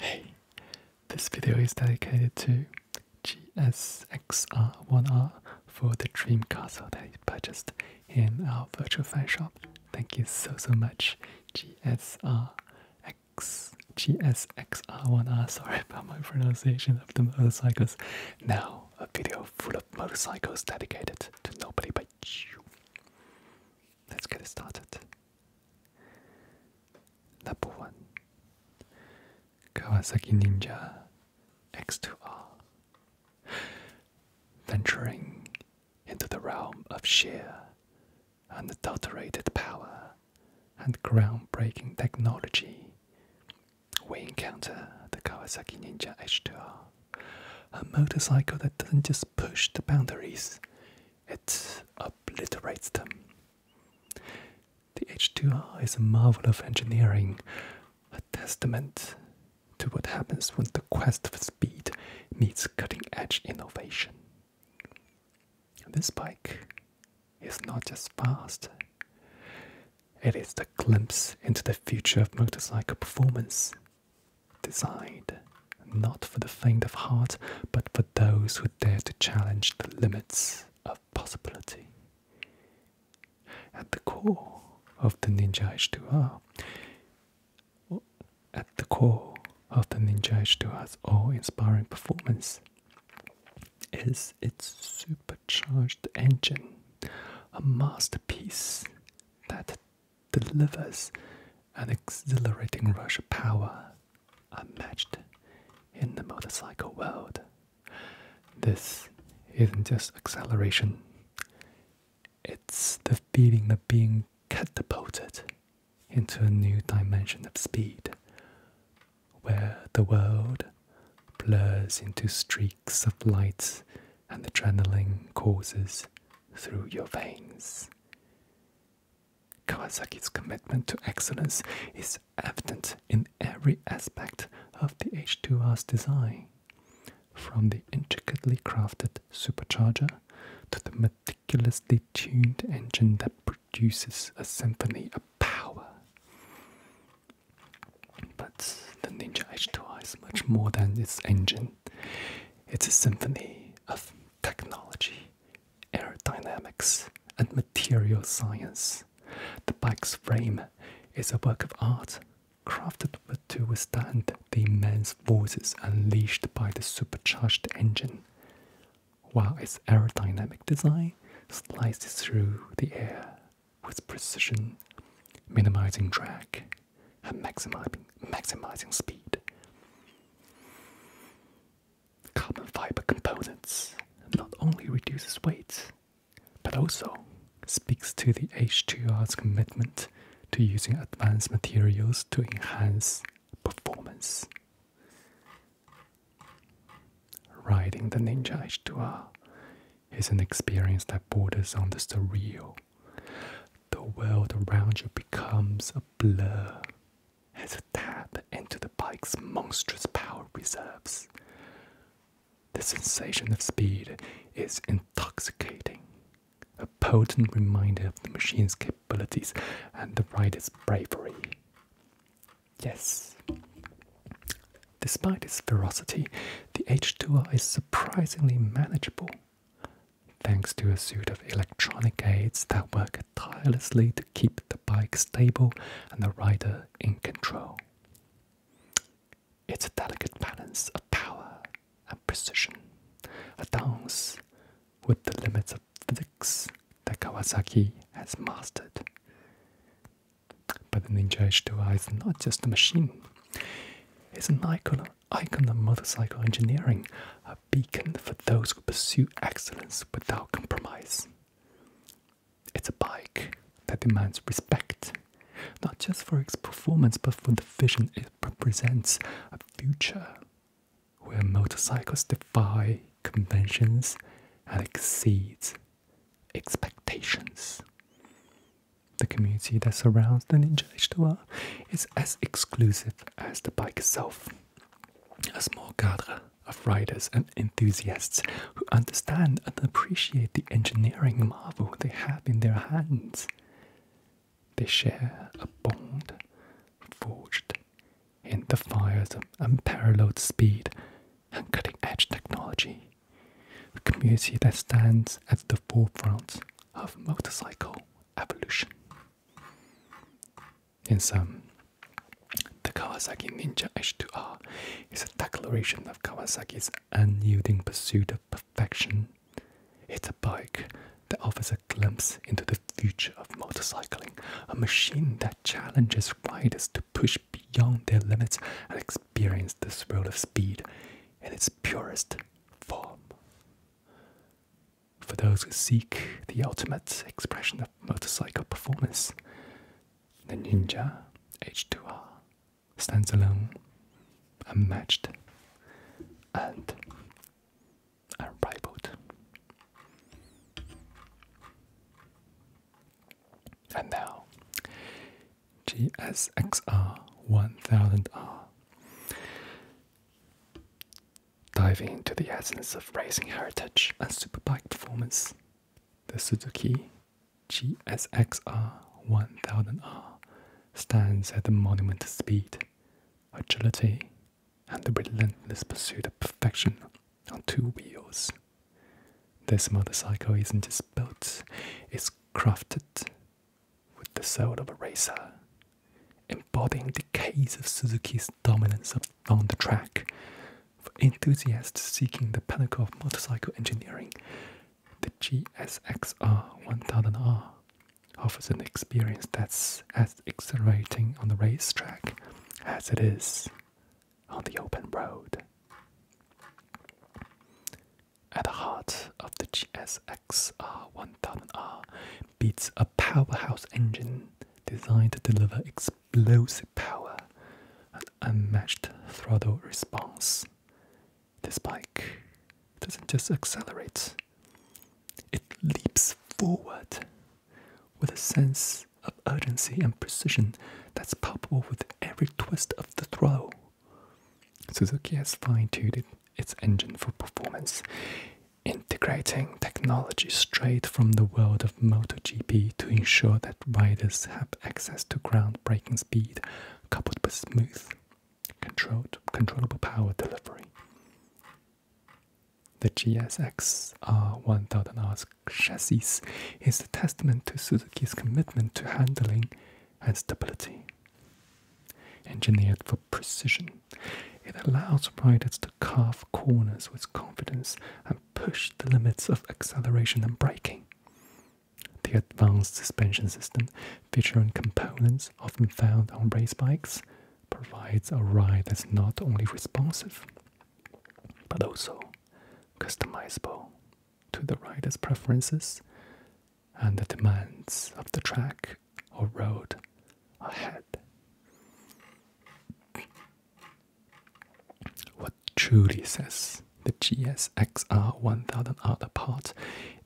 Hey, this video is dedicated to GSXR1R for the Dream Castle that he purchased in our virtual fan shop. Thank you so so much, GSR X GSXR1R. Sorry about my pronunciation of the motorcycles. Now a video full of motorcycles dedicated to nobody but you. Let's get it started. Number 1 Kawasaki Ninja X2R Venturing into the realm of sheer, unadulterated power and groundbreaking technology, we encounter the Kawasaki Ninja H2R, a motorcycle that doesn't just push the boundaries, it obliterates them. The H2R is a marvel of engineering, a testament to what happens when the quest for speed meets cutting edge innovation. This bike is not just fast, it is the glimpse into the future of motorcycle performance, designed not for the faint of heart, but for those who dare to challenge the limits of possibility. At the core of the Ninja H2R, at the core of the Ninja H2R's awe-inspiring performance is its supercharged engine, a masterpiece that delivers an exhilarating rush of power unmatched in the motorcycle world. This isn't just acceleration, it's the feeling of being catapulted into a new dimension of speed, where the world blurs into streaks of light and adrenaline courses through your veins. Kawasaki's commitment to excellence is evident in every aspect of the H2R's design, from the intricately crafted supercharger to the meticulously tuned engine that produces a symphony of power. But the Ninja H2R is much more than its engine, it's a symphony of technology, aerodynamics, and material science. The bike's frame is a work of art, crafted to withstand the immense forces unleashed by the supercharged engine, while its aerodynamic design slices through the air with precision, minimizing drag and maximizing, maximizing speed. Carbon fiber components not only reduces weight, but also speaks to the H2R's commitment to using advanced materials to enhance performance. Riding the Ninja H2R is an experience that borders on the surreal. The world around you becomes a blur has a tap into the bike's monstrous power reserves. The sensation of speed is intoxicating, a potent reminder of the machine's capabilities and the rider's bravery. Yes. Despite its ferocity, the H2R is surprisingly manageable, thanks to a suite of electronic aids that work tirelessly to keep the bike stable and the rider in control. It's a delicate balance of power and precision, a dance with the limits of physics that Kawasaki has mastered. But the Ninja H2i is not just a machine, it's an icon, icon of motorcycle engineering, beacon for those who pursue excellence without compromise. It's a bike that demands respect, not just for its performance, but for the vision it represents a future where motorcycles defy conventions and exceed expectations. The community that surrounds the Ninja H2R is as exclusive as the bike itself a small cadre of riders and enthusiasts who understand and appreciate the engineering marvel they have in their hands. They share a bond forged in the fires of unparalleled speed and cutting edge technology, a community that stands at the forefront of motorcycle evolution in sum, The Kawasaki Ninja H2R is a declaration of Kawasaki's unyielding pursuit of perfection. It's a bike that offers a glimpse into the future of motorcycling, a machine that challenges riders to push beyond their limits and experience the thrill of speed in its purest form for those who seek the ultimate expression of motorcycle performance. The Ninja H2R stands alone, unmatched, and unrivaled. And now, GSXR 1000R diving into the essence of racing heritage and superbike performance. The Suzuki GSXR 1000R stands at the monument of speed, agility, and the relentless pursuit of perfection on two wheels. This motorcycle isn't just built, it's crafted with the soul of a racer embodying the case of Suzuki's dominance on the track. For enthusiasts seeking the pinnacle of motorcycle engineering, the GSXR 1000R offers an experience that's as exhilarating on the racetrack as it is on the open road. At the heart of the GSXR 1000R beats a powerhouse engine designed to deliver explosive power and unmatched throttle response. This bike doesn't just accelerate, it leaps forward with a sense of urgency and precision that's palpable with every twist of the throttle. Suzuki has fine tuned its engine for performance, integrating technology straight from the world of MotoGP to ensure that riders have access to groundbreaking speed coupled with smooth, controlled, controllable power delivery. The GSX R1000R's chassis is a testament to Suzuki's commitment to handling and stability. Engineered for precision, it allows riders to carve corners with confidence and push the limits of acceleration and braking. The advanced suspension system, featuring components often found on race bikes, provides a ride that's not only responsive but also customizable to the rider's preferences and the demands of the track or road ahead. What truly says the GSXR1000R apart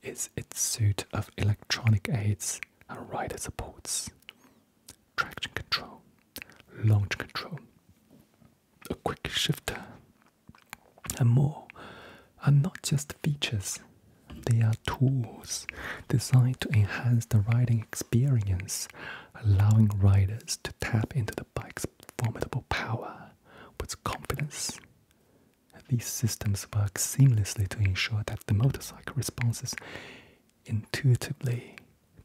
is its suite of electronic aids and rider supports, traction control, launch control, a quick shifter, and more are not just features, they are tools designed to enhance the riding experience allowing riders to tap into the bike's formidable power with confidence. These systems work seamlessly to ensure that the motorcycle responds intuitively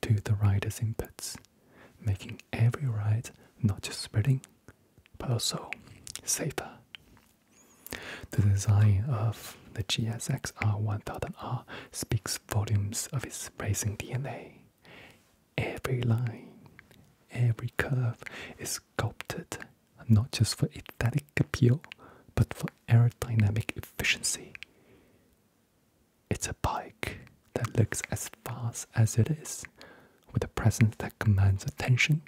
to the rider's inputs, making every ride not just thrilling, but also safer. The design of the GSX R1000R speaks volumes of his racing DNA. Every line, every curve is sculpted not just for aesthetic appeal, but for aerodynamic efficiency. It's a bike that looks as fast as it is, with a presence that commands attention,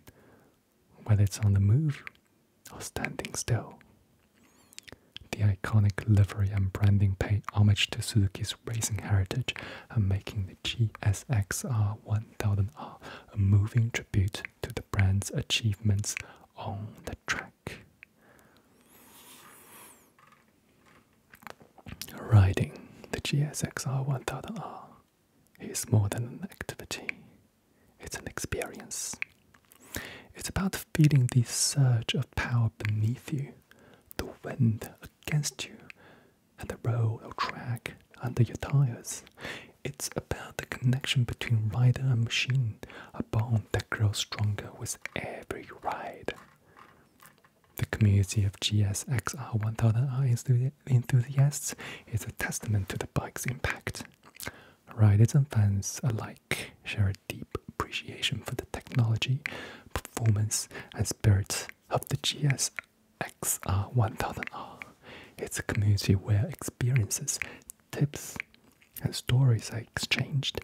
whether it's on the move or standing still. The iconic livery and branding pay homage to Suzuki's racing heritage and making the GSXR 1000R a moving tribute to the brand's achievements on the track. Riding the GSXR 1000R is more than an activity, it's an experience. It's about feeling the surge of power beneath you, the wind against you, and the road or track under your tires. It's about the connection between rider and machine, a bond that grows stronger with every ride. The community of GSXR 1000 R enthusiasts is a testament to the bike's impact. Riders and fans alike share a deep appreciation for the technology, performance, and spirit of the GS XR 1000R. It's a community where experiences, tips, and stories are exchanged,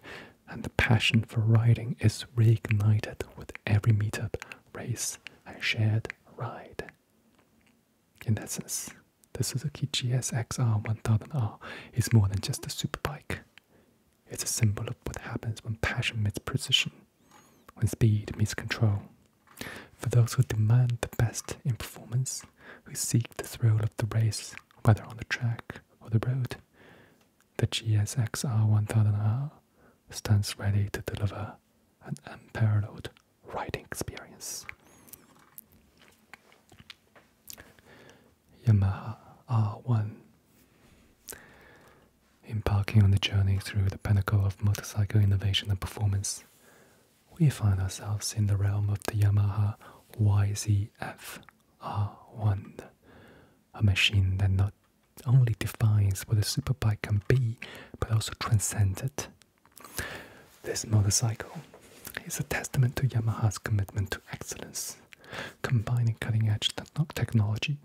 and the passion for riding is reignited with every meetup, race, and shared ride. In essence, this is the Suzuki XR 1000R it's more than just a super bike. It's a symbol of what happens when passion meets precision, when speed meets control. For those who demand the best in performance, who seek the thrill of the race, whether on the track or the road, the GSXR 1000 r stands ready to deliver an unparalleled riding experience. Yamaha R1. Embarking on the journey through the pinnacle of motorcycle innovation and performance, we find ourselves in the realm of the Yamaha YZF R1, a machine that not only defines what a superbike can be, but also transcends it. This motorcycle is a testament to Yamaha's commitment to excellence combining cutting-edge technology,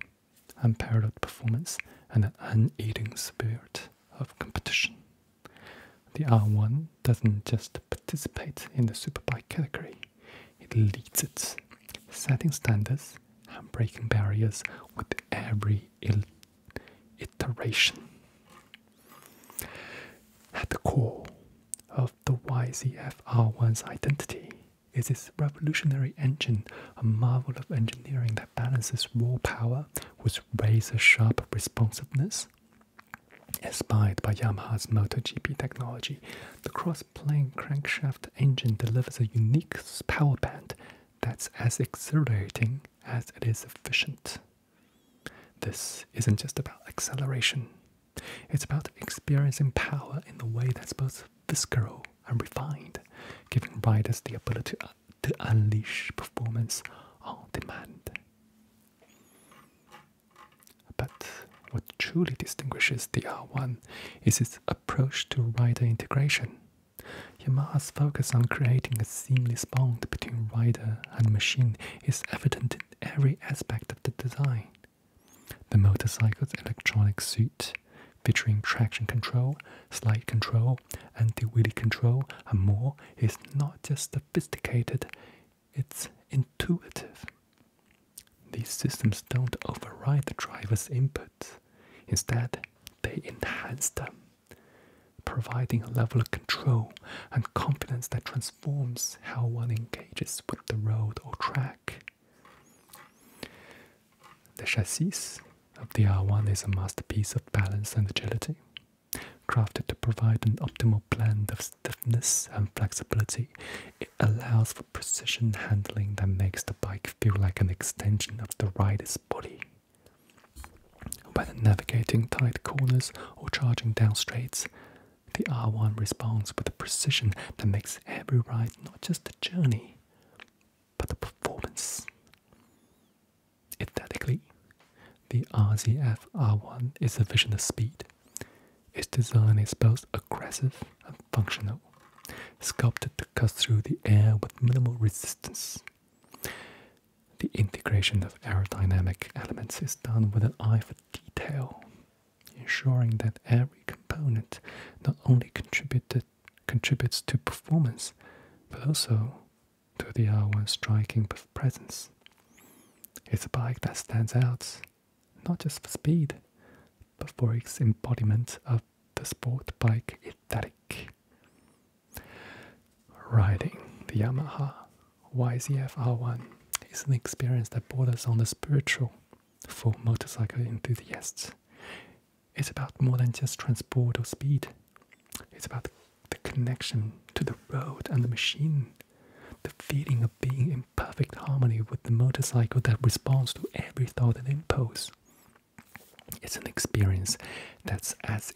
unparalleled performance, and an unaiding spirit of competition. The R1 doesn't just participate in the superbike category, it leads it, setting standards and breaking barriers with every iteration. At the core the YZF R1's identity is its revolutionary engine, a marvel of engineering that balances raw power with razor sharp responsiveness. Inspired by Yamaha's MotoGP technology, the cross-plane crankshaft engine delivers a unique power band that's as exhilarating as it is efficient. This isn't just about acceleration, it's about experiencing power in a way that's both visceral and refined, giving riders the ability to, uh, to unleash performance on demand. But what truly distinguishes the R1 is its approach to rider integration. Yamaha's focus on creating a seamless bond between rider and machine is evident in every aspect of the design. The motorcycle's electronic suite, featuring traction control, slide control, anti-wheelie control, and more, is not just sophisticated, it's intuitive. These systems don't override the driver's input. Instead, they enhance them, providing a level of control and confidence that trans Forms how one engages with the road or track. The chassis of the R1 is a masterpiece of balance and agility, crafted to provide an optimal blend of stiffness and flexibility. It allows for precision handling that makes the bike feel like an extension of the rider's body. Whether navigating tight corners or charging down straights, the R1 responds with a precision that makes every ride not just a journey, but a performance. Aesthetically, the RZF R1 is a vision of speed. Its design is both aggressive and functional, sculpted to cut through the air with minimal resistance. The integration of aerodynamic elements is done with an eye for detail, ensuring that every component not only contributed, contributes to performance, but also to the R1's striking presence. It's a bike that stands out, not just for speed, but for its embodiment of the sport bike aesthetic. Riding the Yamaha YZF one is an experience that borders on the spiritual for motorcycle enthusiasts. It's about more than just transport or speed, it's about the connection to the road and the machine, the feeling of being in perfect harmony with the motorcycle that responds to every thought and impulse. It's an experience that's as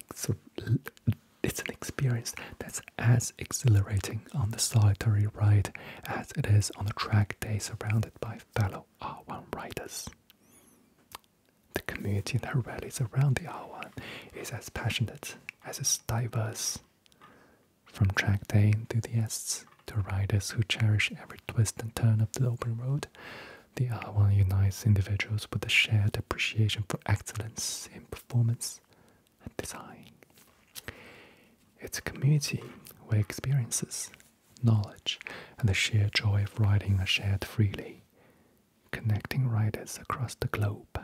it's an experience that's as exhilarating on the solitary ride as it is on a track day surrounded by fellow R1 riders. The community that rallies around the R1 is as passionate as it's diverse. From track day enthusiasts to riders who cherish every twist and turn of the open road, the R1 unites individuals with a shared appreciation for excellence in performance, design. It's a community where experiences, knowledge, and the sheer joy of riding are shared freely, connecting riders across the globe.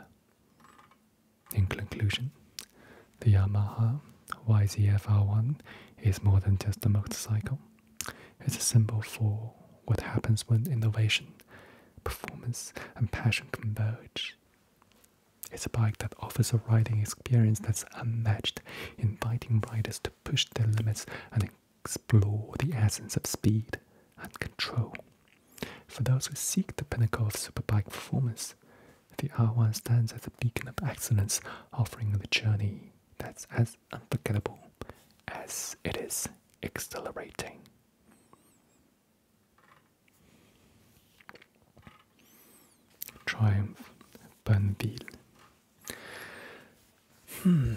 In conclusion, the Yamaha YZF-R1 is more than just a motorcycle. It's a symbol for what happens when innovation, performance, and passion converge. It's a bike that offers a riding experience that's unmatched, inviting riders to push their limits and explore the essence of speed and control. For those who seek the pinnacle of superbike performance, the R1 stands as a beacon of excellence, offering a journey that's as unforgettable as it is exhilarating. Triumph, Bonneville. Hmm.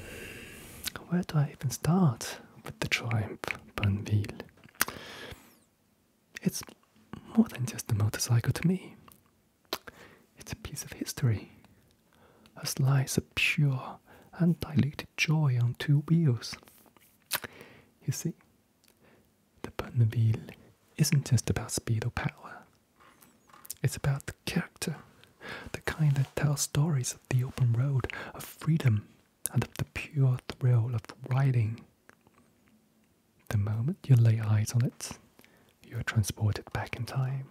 where do I even start with the Triumph, Bonneville? It's more than just a motorcycle to me. It's a piece of history, a slice of pure, undiluted joy on two wheels. You see, the Bonneville isn't just about speed or power, it's about the character, the kind that tells stories of the open road, of freedom, and of the pure thrill of riding. The moment you lay eyes on it, you are transported back in time.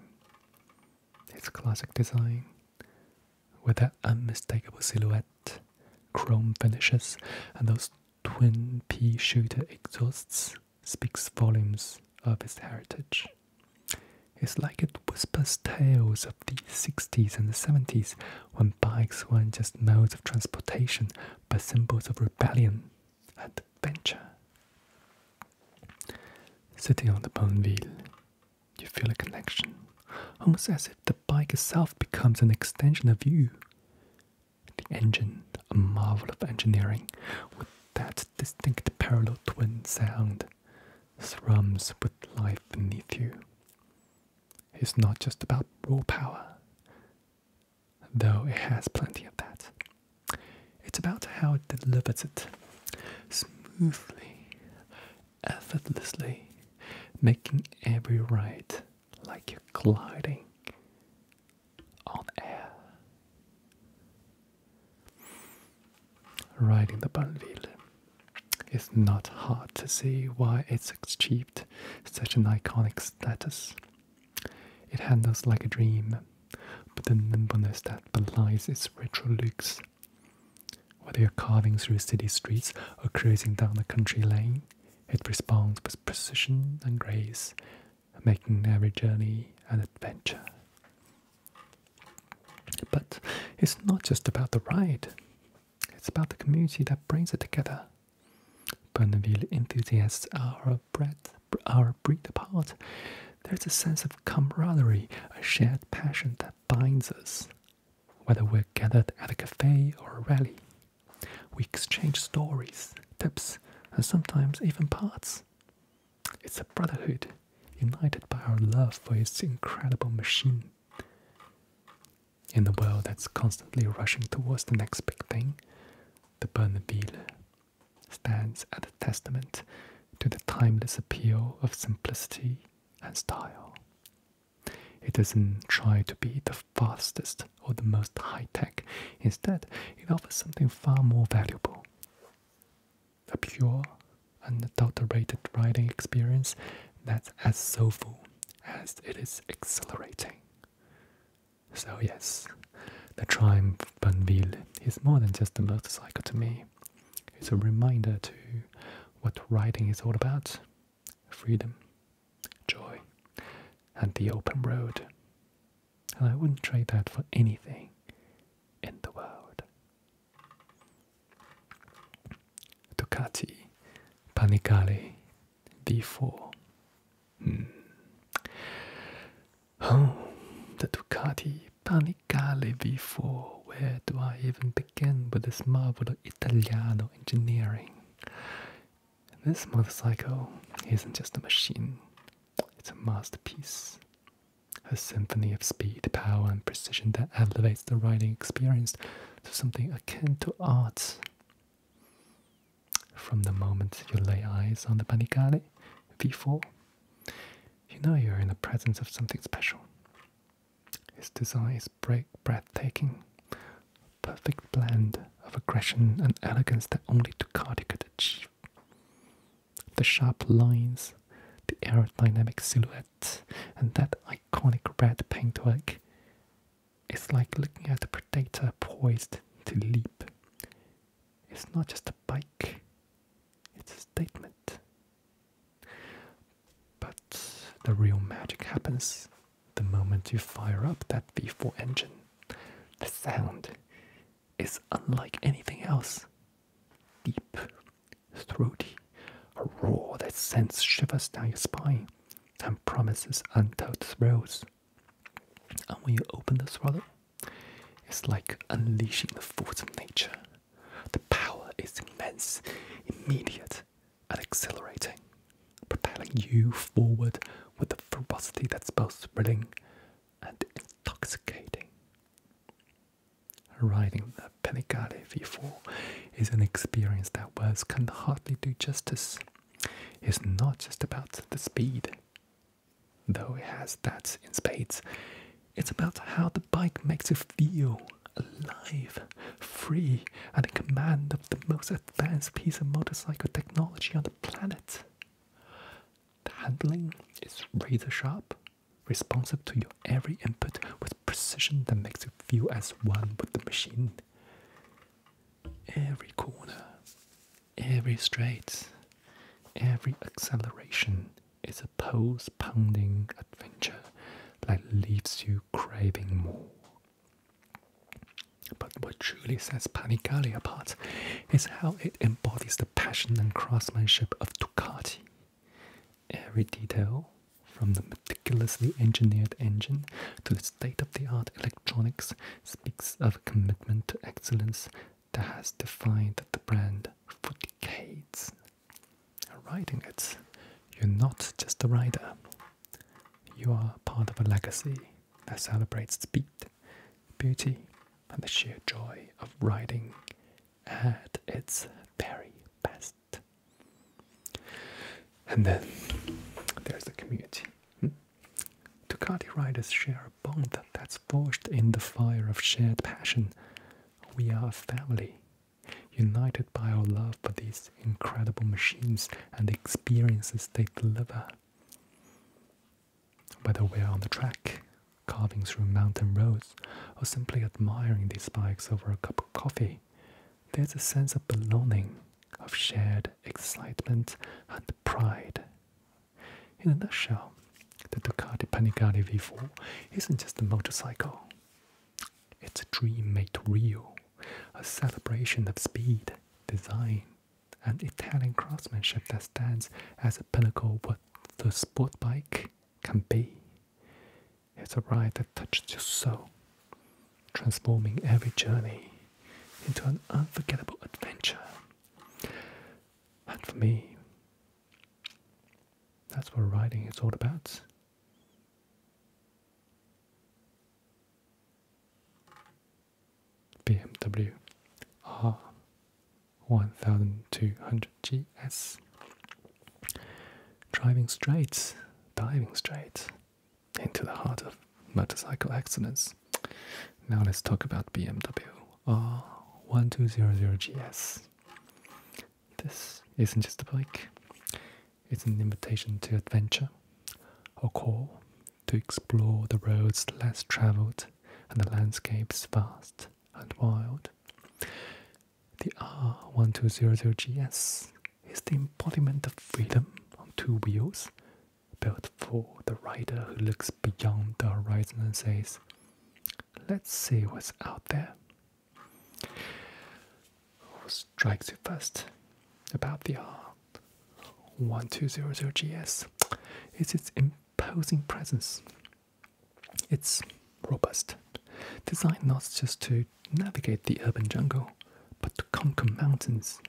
Its classic design, with that unmistakable silhouette, chrome finishes, and those twin P shooter exhausts speaks volumes of its heritage. It's like it whispers tales of the 60s and the 70s when bikes weren't just modes of transportation but symbols of rebellion and adventure. Sitting on the Bonneville, you feel a connection, almost as if the bike itself becomes an extension of you the engine, a marvel of engineering, with that distinct parallel twin sound, thrums with life beneath you. It's not just about raw power, though it has plenty of that. It's about how it delivers it smoothly, effortlessly, making every ride like you're gliding on air. Riding the Bonneville. It's not hard to see why it's achieved such an iconic status. It handles like a dream, but the nimbleness that belies its retro looks. Whether you're carving through city streets or cruising down a country lane, it responds with precision and grace, making every journey an adventure. But it's not just about the ride, it's about the community that brings it together. Bonneville enthusiasts are bred, are breed apart. There's a sense of camaraderie, a shared passion that binds us, whether we're gathered at a cafe or a rally. We exchange stories, tips, and sometimes even parts. It's a brotherhood, united by our love for this incredible machine. In a world that's constantly rushing towards the next big thing, the Bernabille stands as a testament to the timeless appeal of simplicity and style. It doesn't try to be the fastest or the most high tech. Instead, it offers something far more valuable a pure, unadulterated riding experience that's as soulful as it is exhilarating. So, yes, the Triumph Bonville is more than just a motorcycle to me. It's a reminder to what riding is all about freedom, joy, and the open road. And I wouldn't trade that for anything in the world. Ducati Panigale V4. Hmm. Oh, the Ducati Panigale V4. Where do I even begin with this marvel of Italiano engineering? This motorcycle isn't just a machine, it's a masterpiece. A symphony of speed, power, and precision that elevates the riding experience to something akin to art. From the moment you lay eyes on the Panigale V4, you know you're in the presence of something special. Its design is breathtaking, perfect blend of aggression and elegance that only Ducati could achieve. The sharp lines, the aerodynamic silhouette, and that iconic red paintwork. It's like looking at a predator poised to leap. It's not just a bike, it's a statement. But the real magic happens the moment you fire up that V4 engine, the sound is unlike anything else. Deep, throaty, a roar that sends shivers down your spine and promises untold thrills. And when you open the throttle, it's like unleashing the force of nature. The power is immense, immediate, and exhilarating, propelling you forward with a ferocity that's both thrilling and intoxicating. Riding the Panigale V4 is an experience that words can hardly do justice. It's not just about the speed, though it has that in spades. It's about how the bike makes you feel alive, free, and in command the most advanced piece of motorcycle technology on the planet. The handling is razor sharp, responsive to your every input with precision that makes you feel as one with the machine. Every corner, every straight, every acceleration is a pulse pounding adventure that leaves you craving more. But what truly sets Panigale apart is how it embodies the passion and craftsmanship of Ducati. Every detail, from the meticulously engineered engine to the state of the art electronics, speaks of a commitment to excellence that has defined the brand for decades. Riding it, you're not just a rider, you are part of a legacy that celebrates speed, beauty, and the sheer joy of riding at its very best. And then there's the community. Hmm? Ducati riders share a bond that's forged in the fire of shared passion. We are a family, united by our love for these incredible machines and the experiences they deliver. Whether we're on the track, carving through mountain roads, or simply admiring these bikes over a cup of coffee, there's a sense of belonging, of shared excitement and pride. In a nutshell, the Ducati Panigale V4 isn't just a motorcycle. It's a dream made real, a celebration of speed, design and Italian craftsmanship that stands as a pinnacle what the sport bike can be. It's a ride that touches your soul, transforming every journey into an unforgettable adventure. And for me, that's what riding is all about. BMW R1200GS. Driving straight, diving straight into the heart of motorcycle accidents. Now let's talk about BMW R1200GS. This isn't just a bike, it's an invitation to adventure, a call to explore the roads less traveled and the landscapes vast and wild. The R1200GS is the embodiment of freedom on two wheels, built for the rider who looks beyond the horizon and says, Let's see what's out there strikes you first about the R1200GS is its imposing presence. It's robust, designed not just to navigate the urban jungle, but to conquer mountains,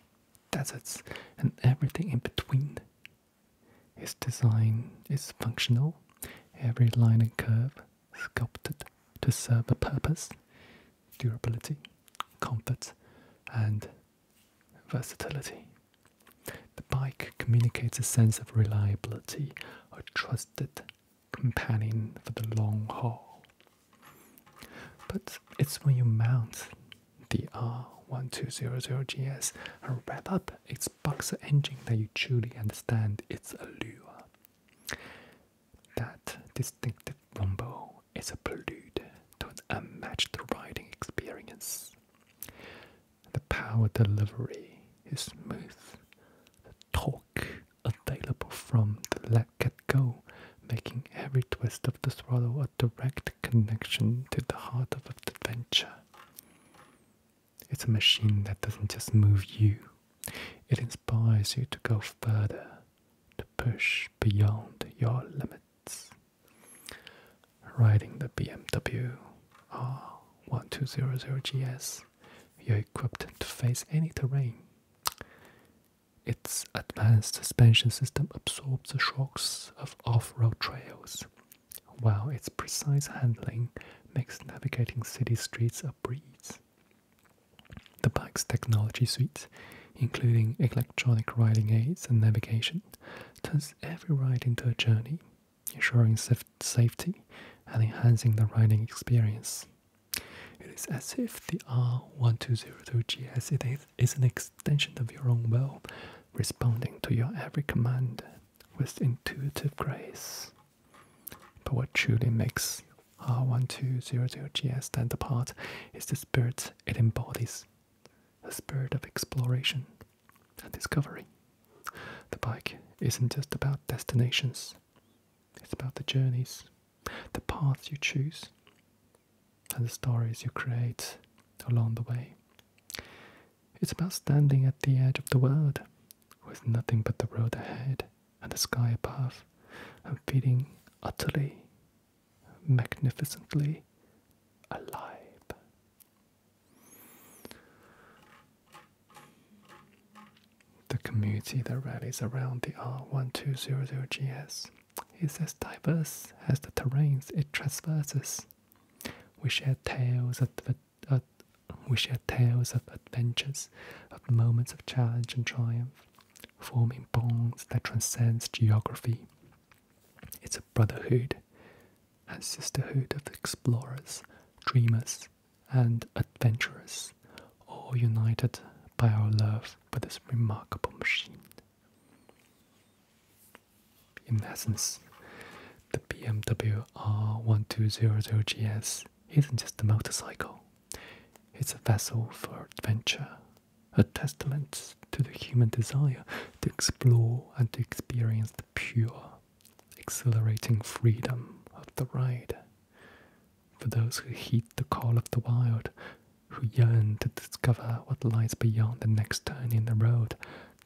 deserts, and everything in between. Its design is functional, every line and curve sculpted to serve a purpose, durability, comfort, and versatility. The bike communicates a sense of reliability, a trusted companion for the long haul. But it's when you mount the R1200GS and wrap up its boxer engine that you truly understand its allure. That distinctive rumble it's a prelude to an unmatched riding experience. The power delivery is smooth. The torque available from the let get-go, making every twist of the throttle a direct connection to the heart of adventure. It's a machine that doesn't just move you, it inspires you to go further, to push beyond your limits. Riding the BMW R1200GS, you're equipped to face any terrain. Its advanced suspension system absorbs the shocks of off road trails, while its precise handling makes navigating city streets a breeze. The bike's technology suite, including electronic riding aids and navigation, turns every ride into a journey, ensuring safety and enhancing the riding experience. It is as if the R1203GS is an extension of your own will, responding to your every command with intuitive grace. But what truly makes R1200GS stand apart is the spirit it embodies a spirit of exploration and discovery. The bike isn't just about destinations, it's about the journeys, the paths you choose, and the stories you create along the way. It's about standing at the edge of the world with nothing but the road ahead and the sky above and feeling utterly magnificently alive. The community that rallies around the R1200GS is as diverse as the terrains it traverses. We share tales of we share tales of adventures, of moments of challenge and triumph, forming bonds that transcend geography. It's a brotherhood a sisterhood of explorers, dreamers, and adventurers, all united by our love for this remarkable machine. In essence, the BMW R1200GS isn't just a motorcycle, it's a vessel for adventure a testament to the human desire to explore and to experience the pure, exhilarating freedom of the ride. For those who heed the call of the wild, who yearn to discover what lies beyond the next turn in the road,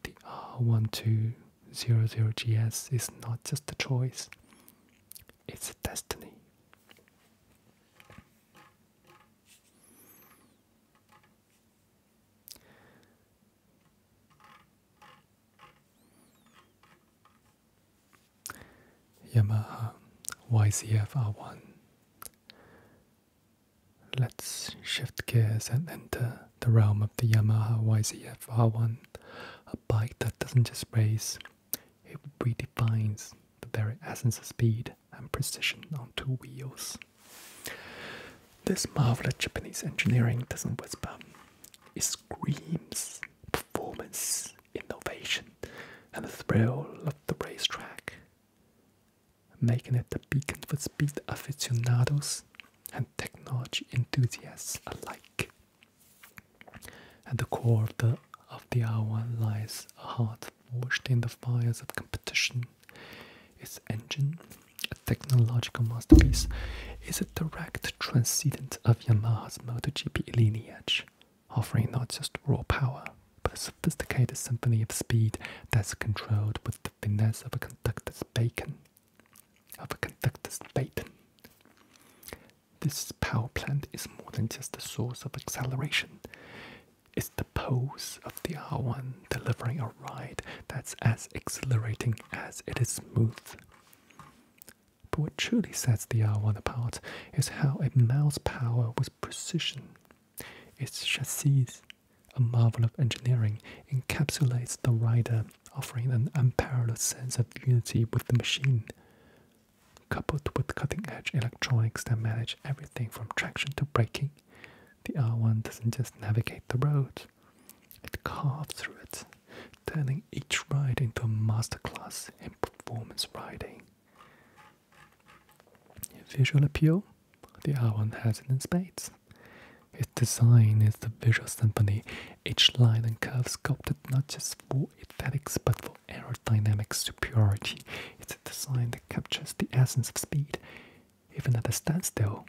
the R1200GS is not just a choice, it's a destiny. Yamaha YZF R1. Let's shift gears and enter the realm of the Yamaha YZF R1, a bike that doesn't just race, it redefines the very essence of speed and precision on two wheels. This marvel of Japanese engineering doesn't whisper, it screams performance, innovation, and the thrill of the racetrack, making it the beacon for speed aficionados and technology enthusiasts alike. At the core of the, of the hour lies a heart Washed in the Fires of Competition. its Engine a technological masterpiece? Is a direct transcendent of Yamaha's MotoGP lineage, offering not just raw power, but a sophisticated symphony of speed that's controlled with the finesse of a conductor's baton. Of a conductor's baton. This power plant is more than just a source of acceleration. It's the pose of the R1 delivering a ride that's as exhilarating as it is smooth. But what truly sets the R1 apart is how it mounts power with precision. Its chassis, a marvel of engineering, encapsulates the rider, offering an unparalleled sense of unity with the machine. Coupled with cutting edge electronics that manage everything from traction to braking, the R1 doesn't just navigate the roads; it carves through it, turning each ride into a masterclass in performance riding. Visual appeal? The R1 has it in spades. Its design is the visual symphony, each line and curve sculpted not just for aesthetics but for aerodynamic superiority is the that captures the essence of speed, even at a standstill,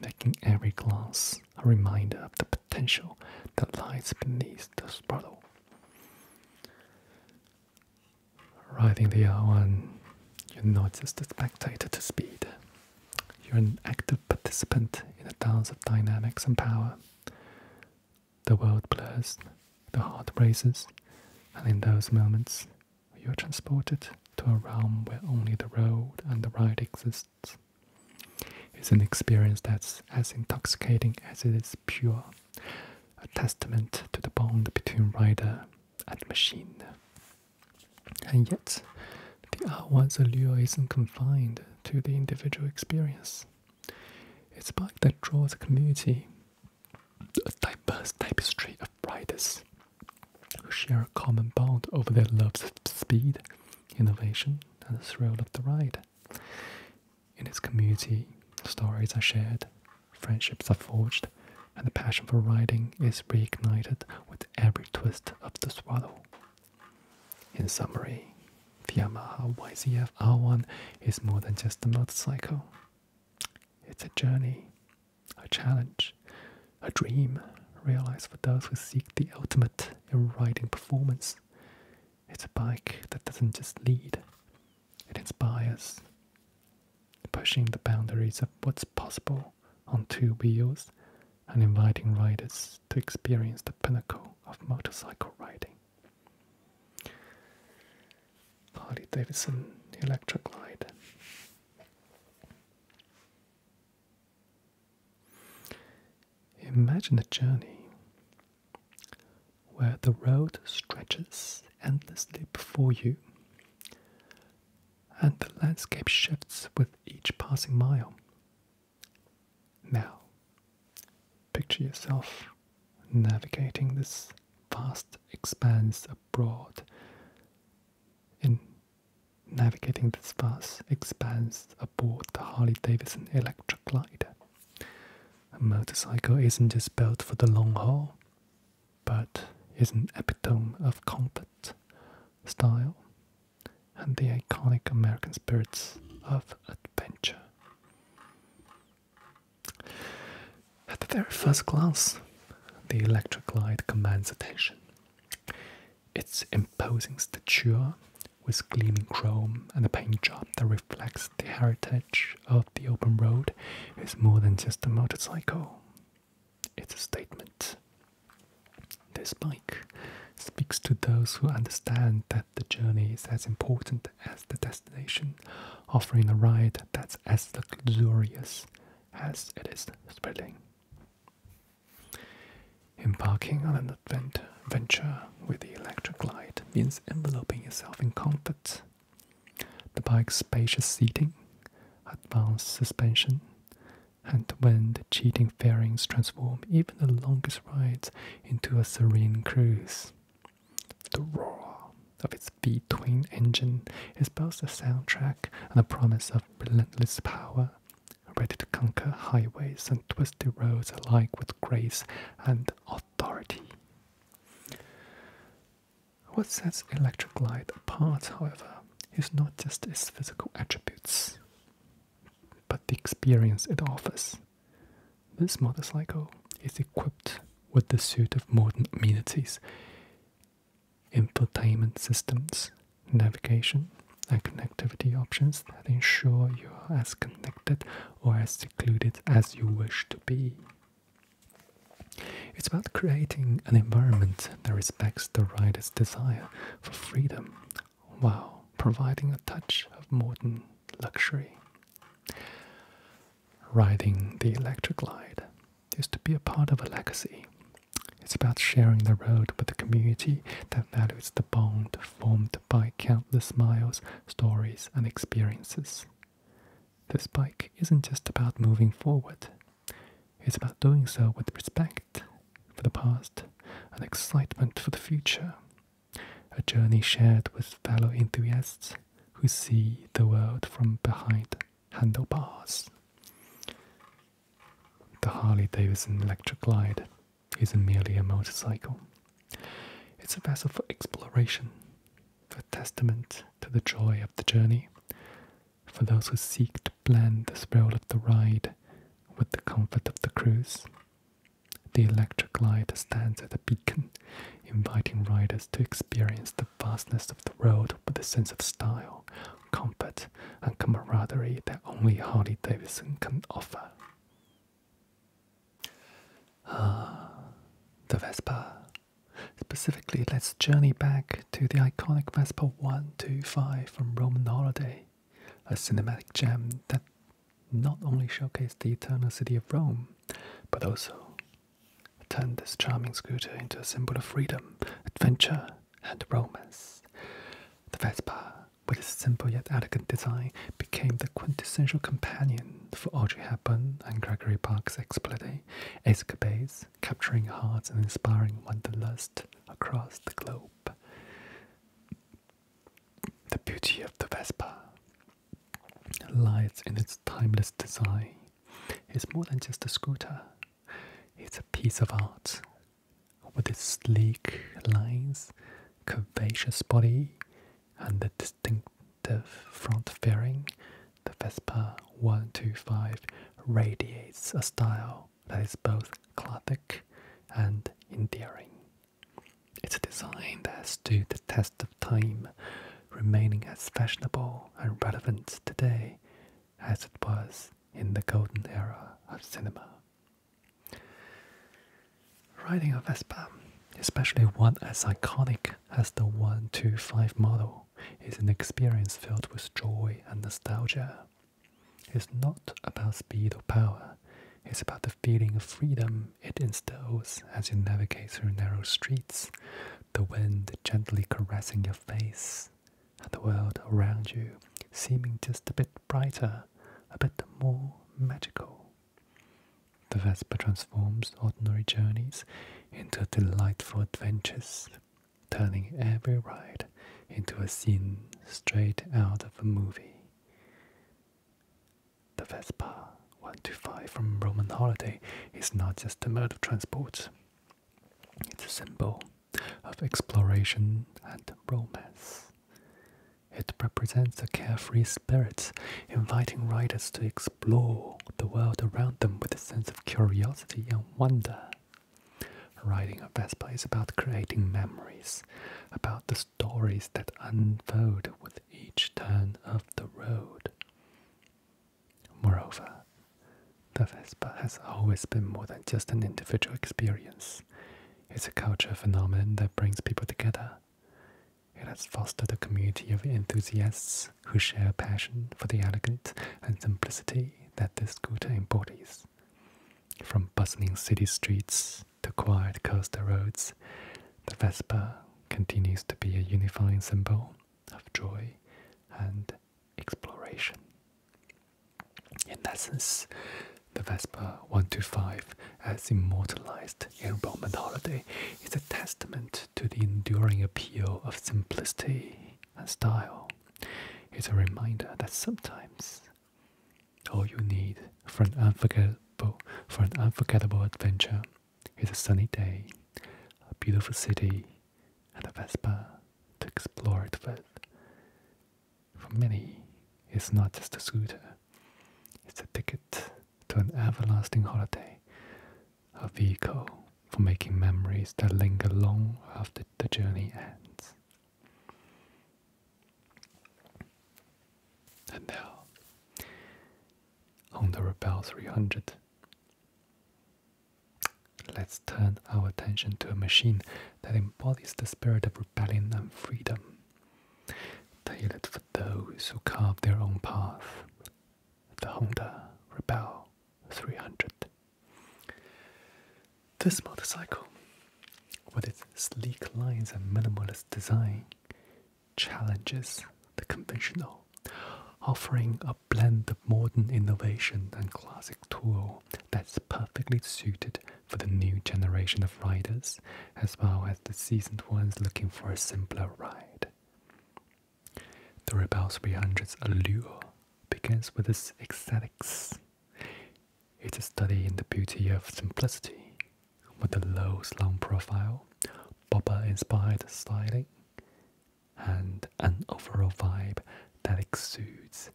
making every glance a reminder of the potential that lies beneath the throttle. Riding the R1, you notice the spectator to speed. You're an active participant in a dance of dynamics and power. The world blurs, the heart races, and in those moments you are transported to a realm where only the road and the ride exists. It's an experience that's as intoxicating as it is pure, a testament to the bond between rider and machine. And yet, the R1's allure isn't confined to the individual experience. It's a bike that draws a community, a diverse tapestry of riders who share a common bond over their love of speed, innovation, and the thrill of the ride. In this community, stories are shared, friendships are forged, and the passion for riding is reignited with every twist of the throttle. In summary, the Yamaha YZF R1 is more than just a motorcycle. It's a journey, a challenge, a dream realized for those who seek the ultimate in riding performance. It's a bike that doesn't just lead, it inspires. Pushing the boundaries of what's possible on two wheels and inviting riders to experience the pinnacle of motorcycle riding. Harley Davidson Electric Light. Imagine a journey where the road stretches endlessly before you and the landscape shifts with each passing mile. Now, picture yourself navigating this vast expanse abroad in navigating this vast expanse aboard the Harley Davidson electric glider. A motorcycle isn't just built for the long haul, but is an epitome of comfort, style, and the iconic American spirits of adventure. At the very first glance, the electric light commands attention. Its imposing stature, with gleaming chrome and a paint job that reflects the heritage of the open road, is more than just a motorcycle. It's a statement. This bike speaks to those who understand that the journey is as important as the destination, offering a ride that's as luxurious as it is thrilling. Embarking on an adventure with the electric light means enveloping yourself in comfort. The bike's spacious seating, advanced suspension, and wind the cheating fairings transform even the longest rides into a serene cruise. The roar of its V-twin engine is both a soundtrack and a promise of relentless power, ready to conquer highways and twisty roads alike with grace and authority. What sets Electric Light apart, however, is not just its physical attributes, but the experience it offers. This motorcycle is equipped with the suite of modern amenities, infotainment systems, navigation, and connectivity options that ensure you are as connected or as secluded as you wish to be. It's about creating an environment that respects the rider's desire for freedom while providing a touch of modern luxury riding the electric glide is to be a part of a legacy. It's about sharing the road with the community that values the bond formed by countless miles, stories, and experiences. This bike isn't just about moving forward, it's about doing so with respect for the past and excitement for the future. A journey shared with fellow enthusiasts who see the world from behind handlebars. The Harley Davidson Electric Glide isn't merely a motorcycle, it's a vessel for exploration, a testament to the joy of the journey for those who seek to blend the thrill of the ride with the comfort of the cruise. The electric light stands as a beacon, inviting riders to experience the the vastness of the road with the sense of style, comfort, and camaraderie that only Harley Davidson can offer. Ah, the Vespa. Specifically, let's journey back to the iconic Vespa 125 from Roman Holiday, a cinematic gem that not only showcased the eternal city of Rome, but also turned this charming scooter into a symbol of freedom, adventure, and romance. The Vespa, with its simple yet elegant design, became the quintessential companion for Audrey Hepburn and Gregory Park's escapades, capturing hearts and inspiring wanderlust across the globe. The beauty of the Vespa lies in its timeless design. It's more than just a scooter, it's a piece of art. With its sleek lines, curvaceous body, and the distinctive front fairing, the Vespa 125 radiates a style that is both classic and endearing. It's a design that has stood the test of time, remaining as fashionable and relevant today as it was in the golden era of cinema. Riding a Vespa, especially one as iconic as the 125 model, is an experience filled with joy and nostalgia. It's not about speed or power, it's about the feeling of freedom it instills as you navigate through narrow streets the wind gently caressing your face, and the world around you seeming just a bit brighter, a bit more magical. The Vespa transforms ordinary journeys into delightful adventures, turning every ride into a scene straight out of a movie. The Vespa 125 from Roman Holiday is not just a mode of transport, it's a symbol of exploration and romance. It represents a carefree spirit, inviting riders to explore the world around them with a sense of curiosity and wonder. Riding a Vespa is about creating memories, about the stories that unfold with each turn of the road. Moreover, the Vespa has always been more than just an individual experience. It's a cultural phenomenon that brings people together. It has fostered a community of enthusiasts who share a passion for the elegance and simplicity that the scooter embodies. From bustling city streets to quiet coastal roads, the Vespa continues to be a unifying symbol of joy and exploration. In essence, the Vespa 125, as immortalized in Roman holiday, is a testament to the enduring appeal of simplicity and style. It's a reminder that sometimes all you need for an unforgettable for an unforgettable adventure it's a sunny day, a beautiful city, and a Vespa to explore it with. For many, it's not just a scooter, it's a ticket to an everlasting holiday, a vehicle for making memories that linger long after the journey ends. And now, Honda Rebel 300 Let's turn our attention to a machine that embodies the spirit of rebellion and freedom, tailored for those who carve their own path. The Honda Rebel 300. This motorcycle, with its sleek lines and minimalist design, challenges the conventional, offering a blend of modern innovation and classic tool that's perfectly suited for the new generation of riders, as well as the seasoned ones looking for a simpler ride. The Rebel 300's allure begins with its aesthetics. It's a study in the beauty of simplicity, with a low, slung profile, bobber inspired styling, and an overall vibe that exudes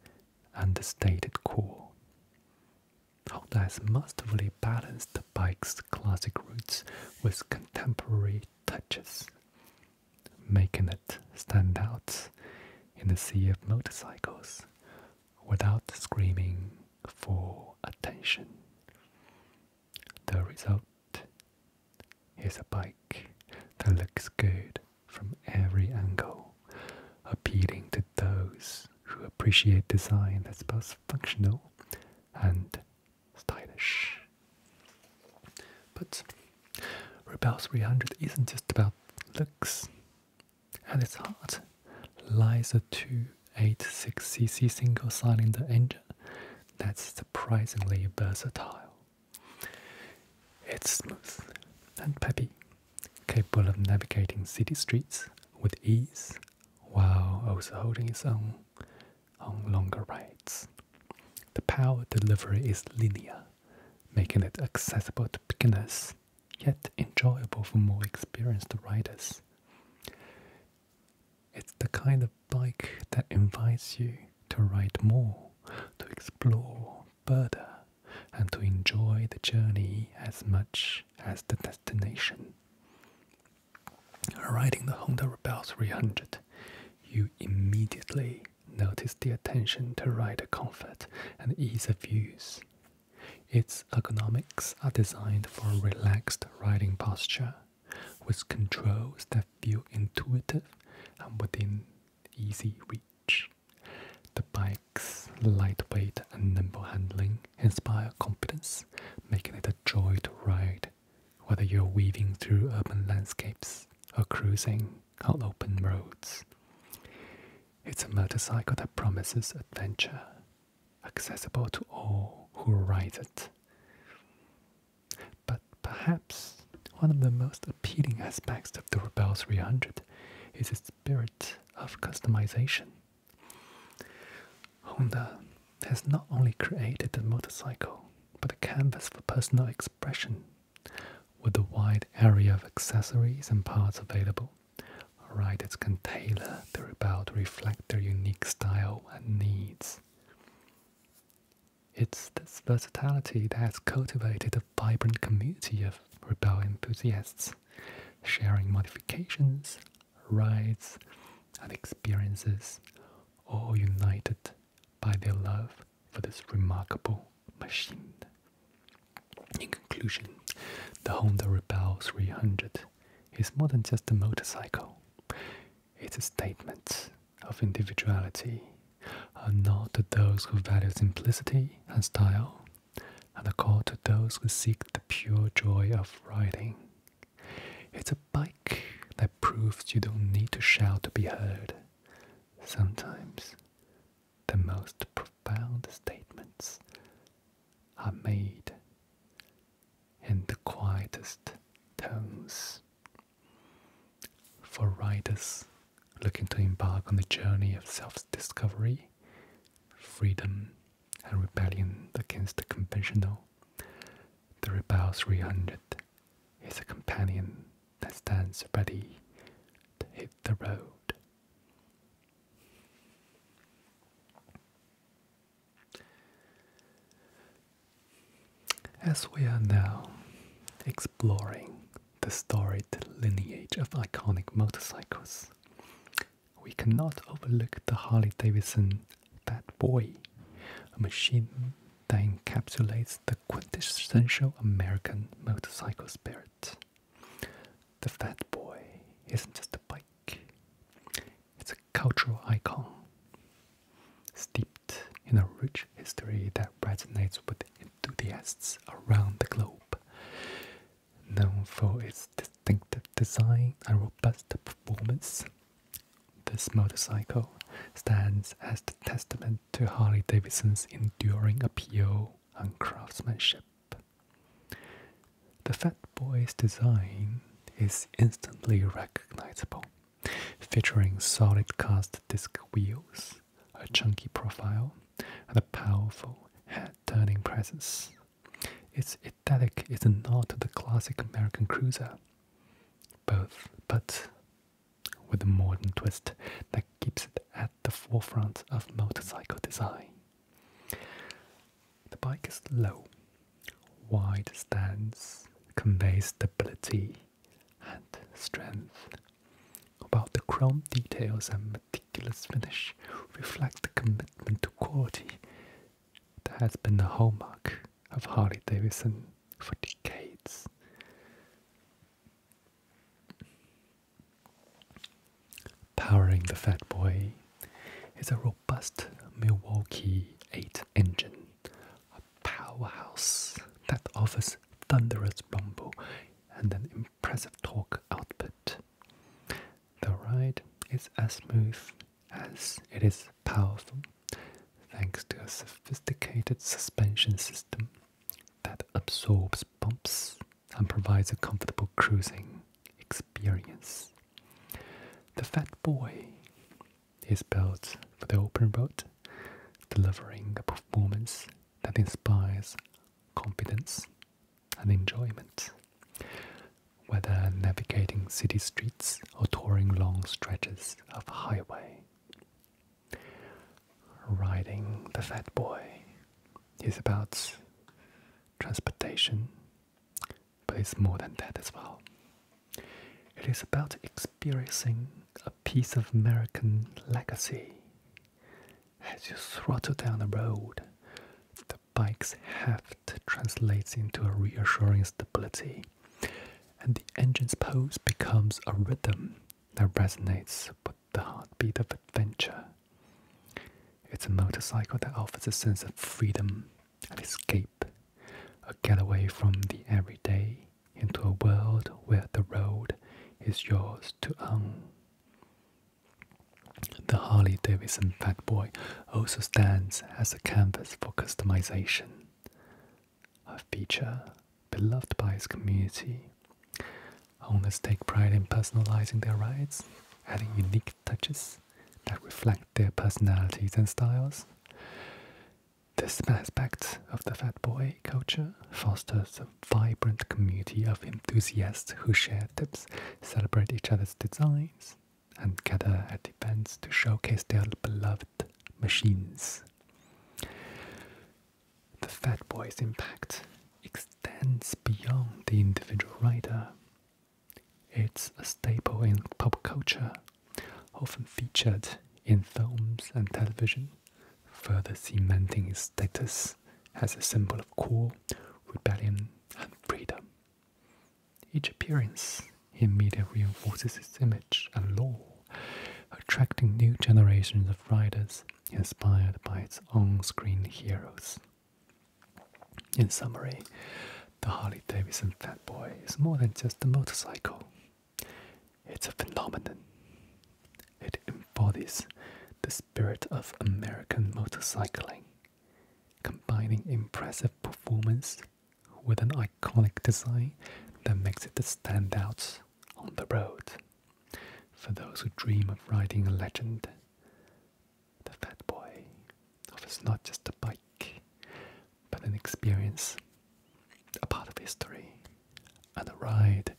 understated cool. Honda has masterfully balanced the bike's classic roots with contemporary touches, making it stand out in the sea of motorcycles without screaming for attention. The result Here's a bike that looks good from every angle, appealing to those who appreciate design that's both functional and stylish. But Rebel 300 isn't just about looks. and its heart lies a 286cc single cylinder engine that's surprisingly versatile. It's smooth and peppy, capable of navigating city streets with ease while also holding its own on longer rides. The power delivery is linear, making it accessible to beginners, yet enjoyable for more experienced riders. It's the kind of bike that invites you to ride more, to explore further, and to enjoy the journey as much as the destination. Riding the Honda Rebel 300, you immediately notice the attention to rider comfort and ease of use. Its ergonomics are designed for a relaxed riding posture with controls that feel intuitive and within easy reach. The bike's lightweight and nimble handling inspire confidence, making it a joy to ride, whether you're weaving through urban landscapes or cruising on open roads. It's a motorcycle that promises adventure, accessible to all who ride it. But perhaps one of the most appealing aspects of the Rebel 300 is its spirit of customization. Honda has not only created a motorcycle, but a canvas for personal expression. With a wide area of accessories and parts available, riders can tailor the Rebel to reflect their unique style and needs. It's this versatility that has cultivated a vibrant community of rebel enthusiasts, sharing modifications, rides, and experiences, all united by their love for this remarkable machine. In conclusion, the Honda Rebel 300 is more than just a motorcycle. It's a statement of individuality, and not to those who value simplicity and style, and a call to those who seek the pure joy of writing. It's a bike that proves you don't need to shout to be heard. Sometimes the most profound statements are made in the quietest tones. For riders looking to embark on the journey of self discovery, freedom, and rebellion against the conventional, the Rebel 300 is a companion that stands ready to hit the road. As we are now exploring the storied lineage of iconic motorcycles, we cannot overlook the Harley Davidson Fat Boy, a machine that encapsulates the quintessential American motorcycle spirit. The Fat Boy isn't just a bike, it's a cultural icon, steeped in a rich history that resonates with enthusiasts around the globe. Known for its distinctive design and robust performance, this motorcycle stands as the testament to Harley Davidson's enduring appeal and craftsmanship. The Fat Boy's design is instantly recognizable featuring solid cast disc wheels, a chunky profile, and a powerful head-turning presence. Its aesthetic is a nod to the classic American cruiser, both but with a modern twist that keeps it at the forefront of motorcycle design. The bike is low, Wide stance conveys stability and strength. About the chrome details and meticulous finish reflect the commitment to quality that has been the hallmark of Harley Davidson for decades. Powering the Fat Boy is a robust Milwaukee 8 engine, powerhouse that offers thunderous rumble and an impressive torque output. The ride is as smooth as it is powerful, thanks to a sophisticated suspension system that absorbs bumps and provides a comfortable cruising experience. The Fat Boy is built for the open road, delivering a performance that inspires confidence and enjoyment. Whether navigating city streets or touring long stretches of highway. Riding the Fat Boy is about transportation, but it's more than that as well. It is about experiencing a piece of American legacy. As you throttle down the road, the bike's heft translates into a reassuring stability, and the engine's pose becomes a rhythm that resonates with the heartbeat of adventure. It's a motorcycle that offers a sense of freedom an escape, a getaway from the everyday into a world where the road is yours to own. The Harley Davidson Fat Boy also stands as a canvas for customization, a feature beloved by its community. Owners take pride in personalizing their rides, adding unique touches that reflect their personalities and styles. This aspect of the fat boy culture fosters a vibrant community of enthusiasts who share tips, celebrate each other's designs, and gather at events to showcase their beloved machines. The fat boy's impact extends beyond the individual rider. It's a staple in pop culture, often featured in films and television, further cementing its status as a symbol of cool, rebellion, and freedom. Each appearance in media reinforces its image and lore, attracting new generations of riders inspired by its on screen heroes. In summary, the Harley Davidson Fat Boy is more than just a motorcycle. It's a phenomenon. It embodies the spirit of American motorcycling, combining impressive performance with an iconic design that makes it a standout on the road. For those who dream of riding a legend, the Fat Boy offers not just a bike, but an experience, a part of history, and a ride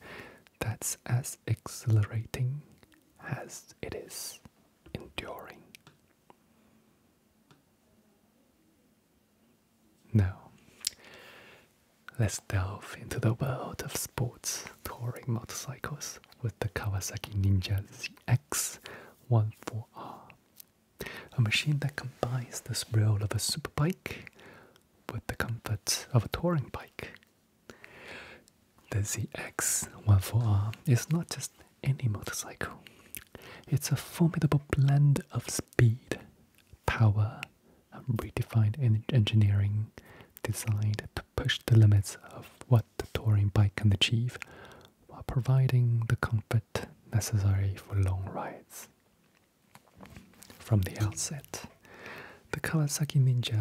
that's as exhilarating as it is enduring. Now, let's delve into the world of sports touring motorcycles with the Kawasaki Ninja ZX 14R a machine that combines the thrill of a superbike with the comfort of a touring bike. The ZX14R is not just any motorcycle, it's a formidable blend of speed, power, and redefined engineering designed to push the limits of what the touring bike can achieve while providing the comfort necessary for long rides. From the outset, the Kawasaki Ninja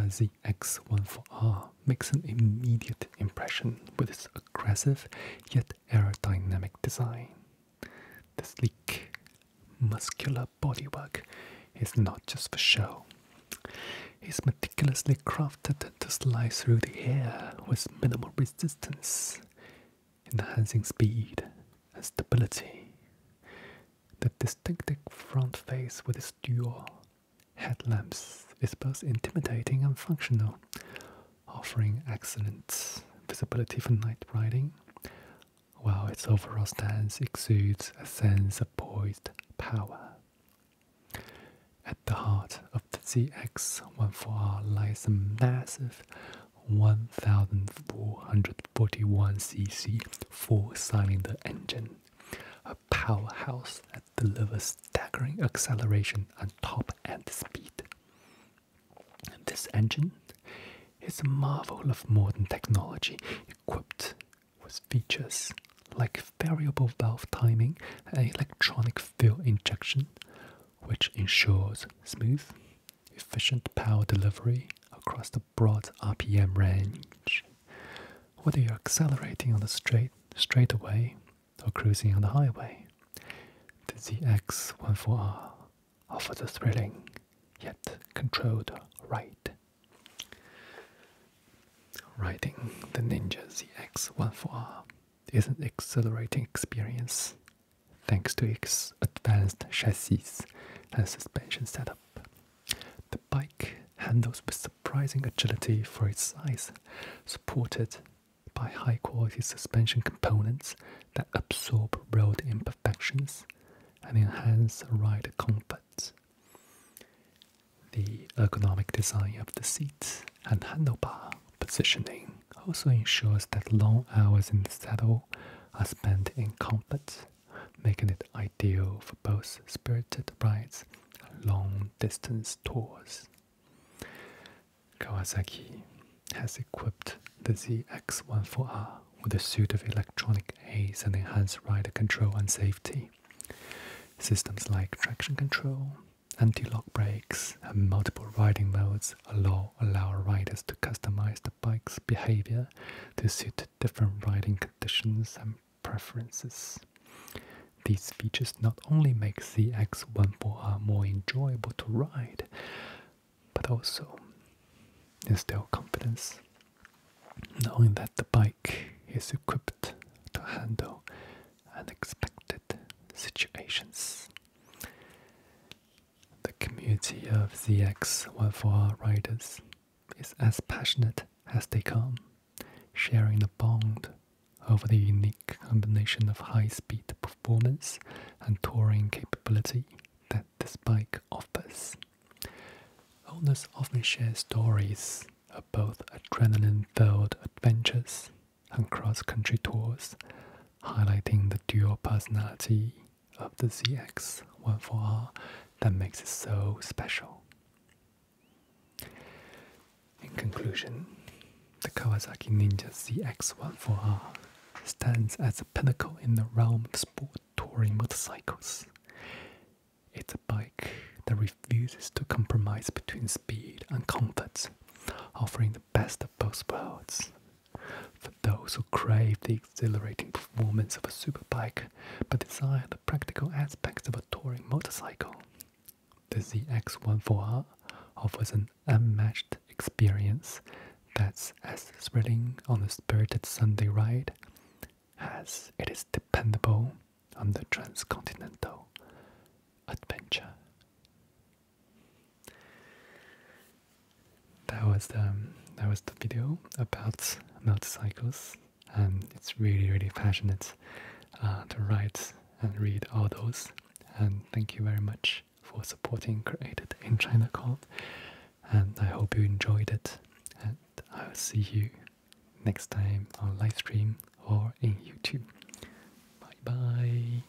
ZX14R makes an immediate impression with its aggressive yet aerodynamic design. The sleek, muscular bodywork is not just for show. It's meticulously crafted to slide through the air with minimal resistance, enhancing speed and stability. The distinctive front face with its dual headlamps is both intimidating and functional, offering excellent visibility for night riding, while its overall stance exudes a sense of poised power. At the heart of the zx 14 lies a massive 1441cc four cylinder engine, a powerhouse that delivers staggering acceleration and top end speed. This engine is a marvel of modern technology equipped with features like variable valve timing and electronic fuel injection, which ensures smooth efficient power delivery across the broad RPM range, whether you're accelerating on the straight straightaway or cruising on the highway. The ZX14R offers a thrilling yet controlled ride. Riding the Ninja ZX14R is an exhilarating experience thanks to its advanced chassis and suspension setup. The bike handles with surprising agility for its size, supported by high quality suspension components that absorb road imperfections and enhance ride comfort. The ergonomic design of the seat and handlebar positioning also ensures that long hours in the saddle are spent in comfort, making it ideal for both spirited rides and long distance tours. Kawasaki has equipped the ZX14R with a suite of electronic aids and enhanced rider control and safety. Systems like traction control, anti-lock brakes, and multiple riding modes allow allow riders to customize the bike's behavior to suit different riding conditions and preferences. These features not only make ZX14R more enjoyable to ride, but also instill confidence, knowing that the bike is equipped to handle unexpected situations. The community of ZX14R riders is as passionate as they come, sharing the bond over the unique combination of high speed performance and touring capability that this bike offers. Owners often share stories of both adrenaline filled adventures and cross-country tours, highlighting the dual personality of the ZX14R that makes it so special. In conclusion, the Kawasaki Ninja ZX14R stands as a pinnacle in the realm of sport touring motorcycles. It's a bike that refuses to compromise between speed and comfort, offering the best of both worlds. For those who crave the exhilarating performance of a superbike but desire the practical aspects of a touring motorcycle, the ZX14R offers an unmatched experience that's as thrilling on a spirited Sunday ride as it is dependable on the transcontinental adventure. That was the that was the video about motorcycles, and it's really really passionate uh, to write and read all those. And thank you very much for supporting Created in China Called, and I hope you enjoyed it. And I'll see you next time on live stream or in YouTube. Bye bye.